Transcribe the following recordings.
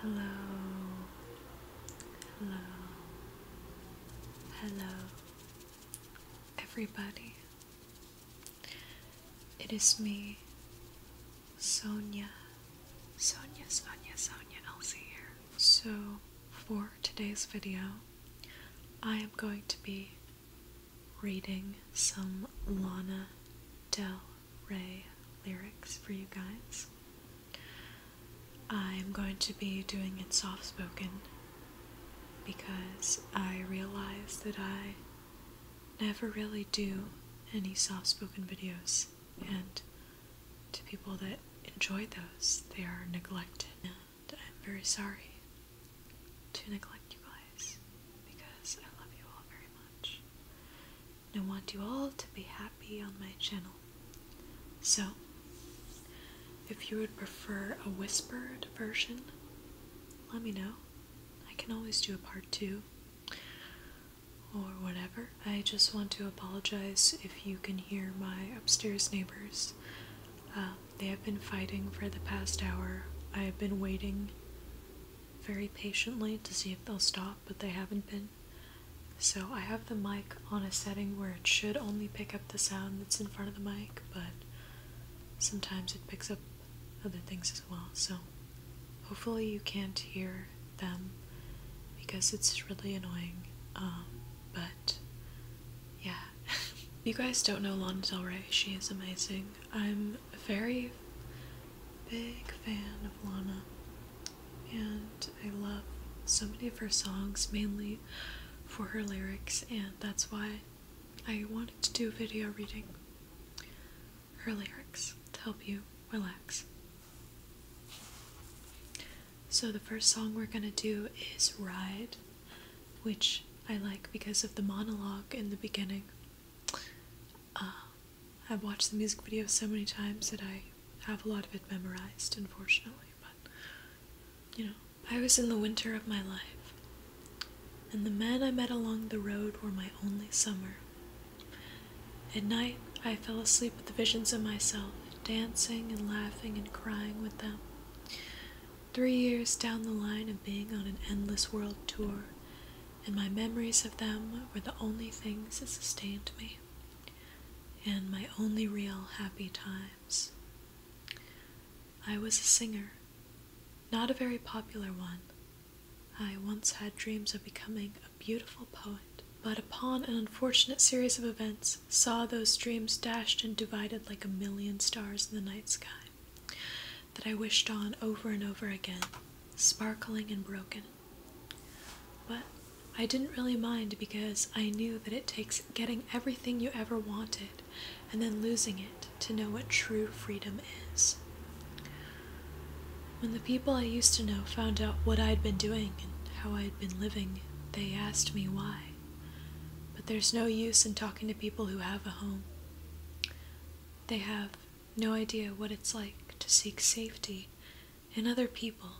Hello, hello, hello, everybody. It is me, Sonia, Sonia, Sonia, Sonia, Elsie here. So, for today's video, I am going to be reading some Lana Del Ray lyrics for you guys. I'm going to be doing it soft spoken because I realize that I never really do any soft spoken videos, and to people that enjoy those, they are neglected. And I'm very sorry to neglect you guys because I love you all very much. I want you all to be happy on my channel. So, if you would prefer a whispered version, let me know. I can always do a part two or whatever. I just want to apologize if you can hear my upstairs neighbors. Uh, they have been fighting for the past hour. I have been waiting very patiently to see if they'll stop but they haven't been. So I have the mic on a setting where it should only pick up the sound that's in front of the mic, but sometimes it picks up other things as well. So hopefully you can't hear them because it's really annoying. Um, but yeah, you guys don't know Lana Del Rey. She is amazing. I'm a very big fan of Lana and I love so many of her songs, mainly for her lyrics, and that's why I wanted to do video reading her lyrics to help you relax. So, the first song we're gonna do is Ride, which I like because of the monologue in the beginning. Uh, I've watched the music video so many times that I have a lot of it memorized, unfortunately, but you know, I was in the winter of my life, and the men I met along the road were my only summer. At night, I fell asleep with the visions of myself, dancing and laughing and crying with them. Three years down the line of being on an endless world tour, and my memories of them were the only things that sustained me, and my only real happy times. I was a singer, not a very popular one. I once had dreams of becoming a beautiful poet, but upon an unfortunate series of events, saw those dreams dashed and divided like a million stars in the night sky that I wished on over and over again, sparkling and broken. But I didn't really mind because I knew that it takes getting everything you ever wanted and then losing it to know what true freedom is. When the people I used to know found out what I'd been doing and how I'd been living, they asked me why. But there's no use in talking to people who have a home. They have no idea what it's like to seek safety in other people,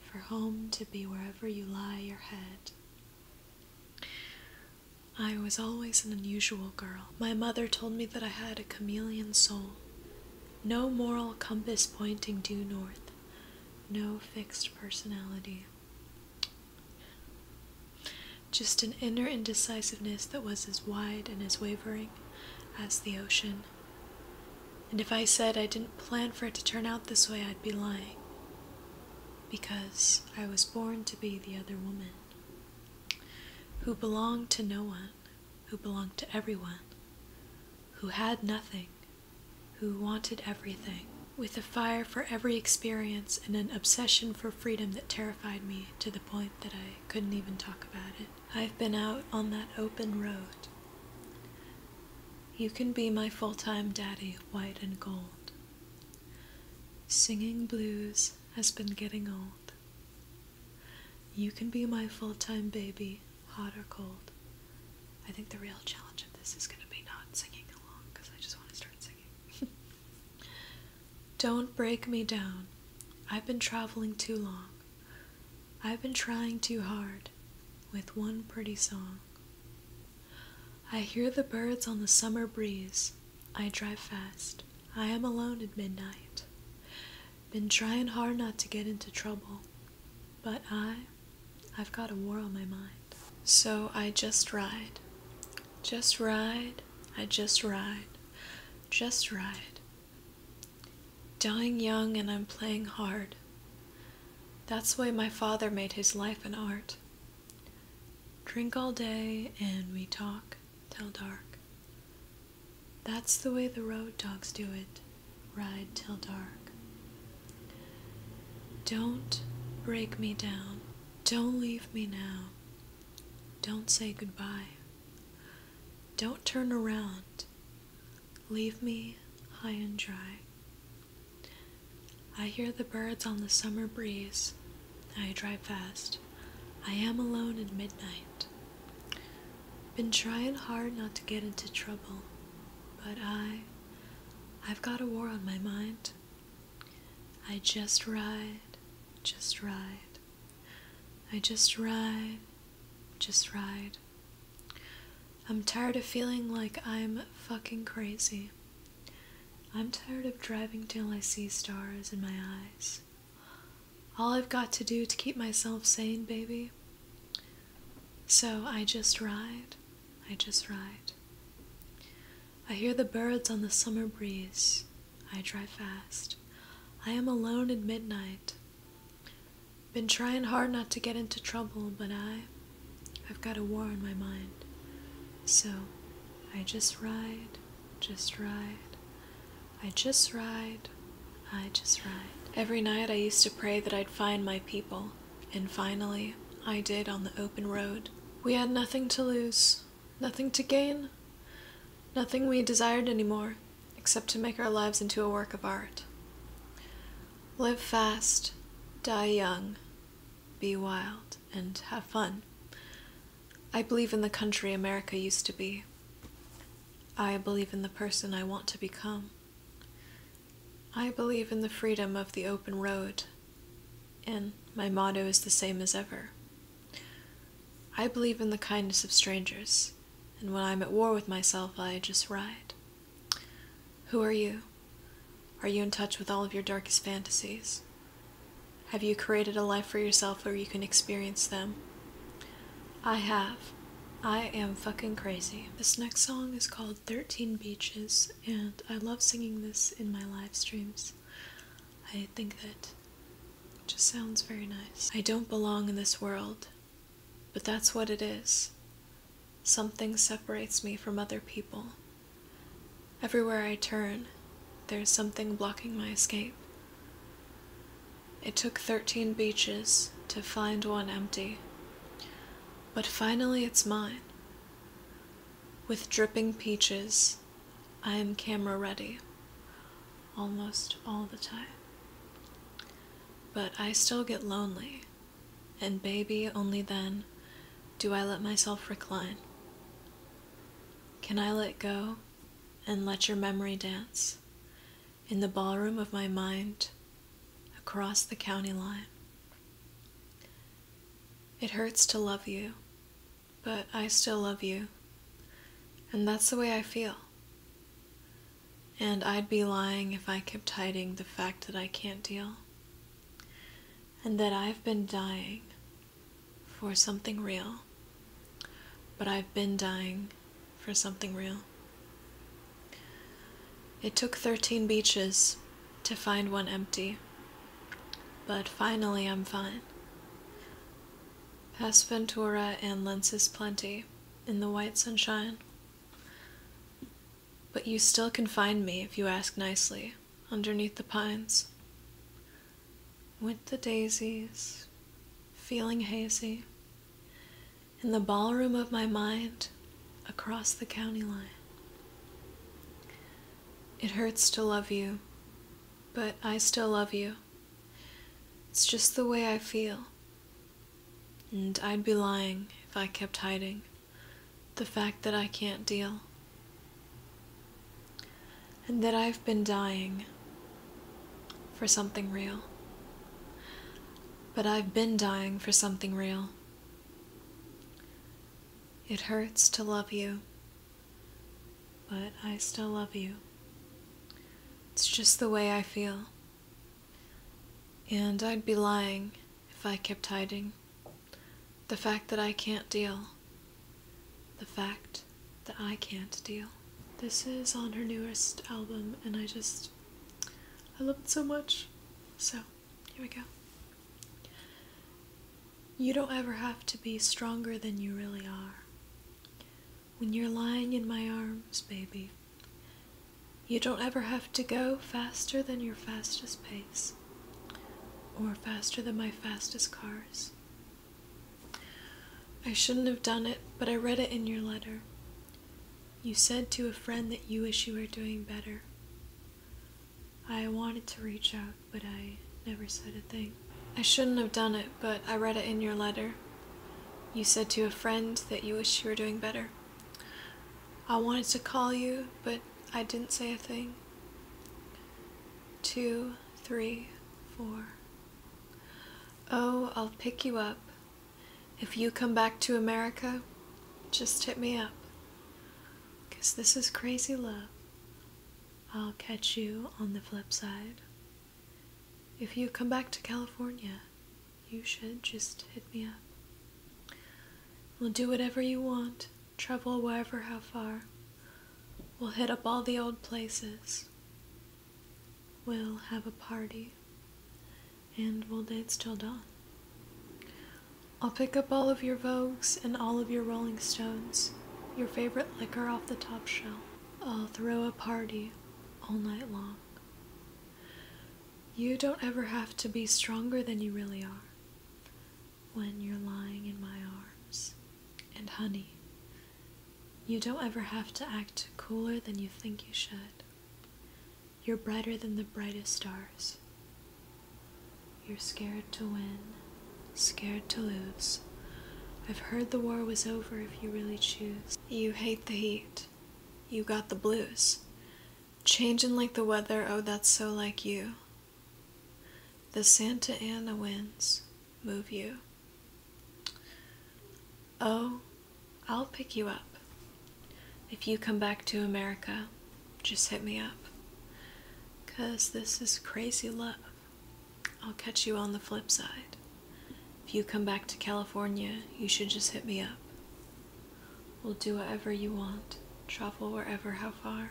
for home to be wherever you lie your head. I was always an unusual girl. My mother told me that I had a chameleon soul. No moral compass pointing due north. No fixed personality. Just an inner indecisiveness that was as wide and as wavering as the ocean. And if I said I didn't plan for it to turn out this way, I'd be lying. Because I was born to be the other woman, who belonged to no one, who belonged to everyone, who had nothing, who wanted everything, with a fire for every experience and an obsession for freedom that terrified me to the point that I couldn't even talk about it. I've been out on that open road. You can be my full time daddy, white and gold. Singing blues has been getting old. You can be my full time baby, hot or cold. I think the real challenge of this is going to be not singing along because I just want to start singing. Don't break me down. I've been traveling too long. I've been trying too hard with one pretty song. I hear the birds on the summer breeze. I drive fast. I am alone at midnight. Been trying hard not to get into trouble, but I, I've got a war on my mind. So I just ride just ride, I just ride, just ride. Dying young and I'm playing hard. That's the way my father made his life an art. Drink all day and we talk till dark. That's the way the road dogs do it, ride till dark. Don't break me down. Don't leave me now. Don't say goodbye. Don't turn around. Leave me high and dry. I hear the birds on the summer breeze. I drive fast. I am alone at midnight. Been trying hard not to get into trouble, but I. I've got a war on my mind. I just ride, just ride. I just ride, just ride. I'm tired of feeling like I'm fucking crazy. I'm tired of driving till I see stars in my eyes. All I've got to do to keep myself sane, baby. So I just ride. I just ride. I hear the birds on the summer breeze. I drive fast. I am alone at midnight. Been trying hard not to get into trouble, but I. I've got a war on my mind. So I just ride, just ride. I just ride, I just ride. Every night I used to pray that I'd find my people. And finally, I did on the open road. We had nothing to lose, nothing to gain, nothing we desired anymore, except to make our lives into a work of art. Live fast, die young, be wild, and have fun. I believe in the country America used to be. I believe in the person I want to become. I believe in the freedom of the open road, and my motto is the same as ever. I believe in the kindness of strangers, and when I'm at war with myself, I just ride. Who are you? Are you in touch with all of your darkest fantasies? Have you created a life for yourself where you can experience them? I have. I am fucking crazy. This next song is called 13 Beaches and I love singing this in my live streams. I think that it just sounds very nice. I don't belong in this world, but that's what it is. Something separates me from other people. Everywhere I turn, there's something blocking my escape. It took 13 beaches to find one empty, but finally it's mine. With dripping peaches, I am camera ready almost all the time. But I still get lonely, and baby, only then do I let myself recline. Can I let go and let your memory dance in the ballroom of my mind across the county line? It hurts to love you, but I still love you. And that's the way I feel. And I'd be lying if I kept hiding the fact that I can't deal. And that I've been dying for something real. But I've been dying for something real. It took 13 beaches to find one empty, but finally I'm fine. Past Ventura and Lenses Plenty in the white sunshine. But you still can find me if you ask nicely underneath the pines. With the daisies, feeling hazy, in the ballroom of my mind across the county line. It hurts to love you, but I still love you. It's just the way I feel. And I'd be lying if I kept hiding the fact that I can't deal. And that I've been dying for something real. But I've been dying for something real. It hurts to love you, but I still love you. It's just the way I feel. And I'd be lying if I kept hiding the fact that I can't deal. The fact that I can't deal. This is on her newest album, and I just. I love it so much. So, here we go. You don't ever have to be stronger than you really are. When you're lying in my arms, baby, you don't ever have to go faster than your fastest pace or faster than my fastest cars. I shouldn't have done it, but I read it in your letter, you said to a friend that you wish you were doing better. I wanted to reach out, but I never said a thing. I shouldn't have done it, but I read it in your letter. You said to a friend that you wish you were doing better. I wanted to call you, but I didn't say a thing. Two, three, four. Oh, I'll pick you up if you come back to America, just hit me up. 'Cause this is crazy love. I'll catch you on the flip side. If you come back to California, you should just hit me up. We'll do whatever you want, travel wherever, how far. We'll hit up all the old places. We'll have a party and we'll dance till dawn. I'll pick up all of your vogues and all of your rolling stones, your favorite liquor off the top shelf. I'll throw a party all night long. You don't ever have to be stronger than you really are when you're lying in my arms. And honey, you don't ever have to act cooler than you think you should. You're brighter than the brightest stars. You're scared to win, scared to lose. I've heard the war was over if you really choose. You hate the heat. You got the blues. Changing like the weather, oh, that's so like you. The Santa Ana winds move you. Oh, I'll pick you up. If you come back to America, just hit me up. Because this is crazy love. I'll catch you on the flip side. If you come back to California, you should just hit me up. We'll do whatever you want, travel wherever, how far.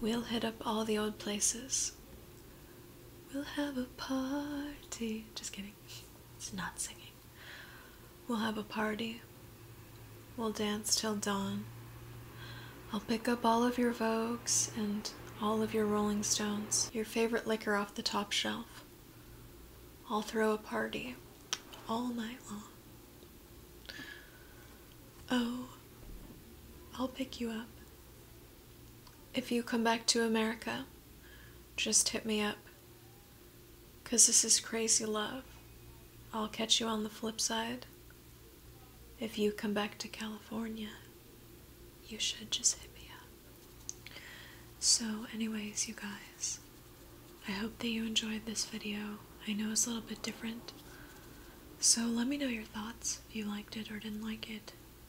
We'll hit up all the old places. We'll have a party. Just kidding. It's not singing. We'll have a party. We'll dance till dawn. I'll pick up all of your Vogues and all of your Rolling Stones, your favorite liquor off the top shelf. I'll throw a party all night long. Oh, I'll pick you up. If you come back to America, just hit me up. Because this is crazy love. I'll catch you on the flip side. If you come back to California, you should just hit me up. So, anyways, you guys, I hope that you enjoyed this video. I know it's a little bit different. So, let me know your thoughts if you liked it or didn't like it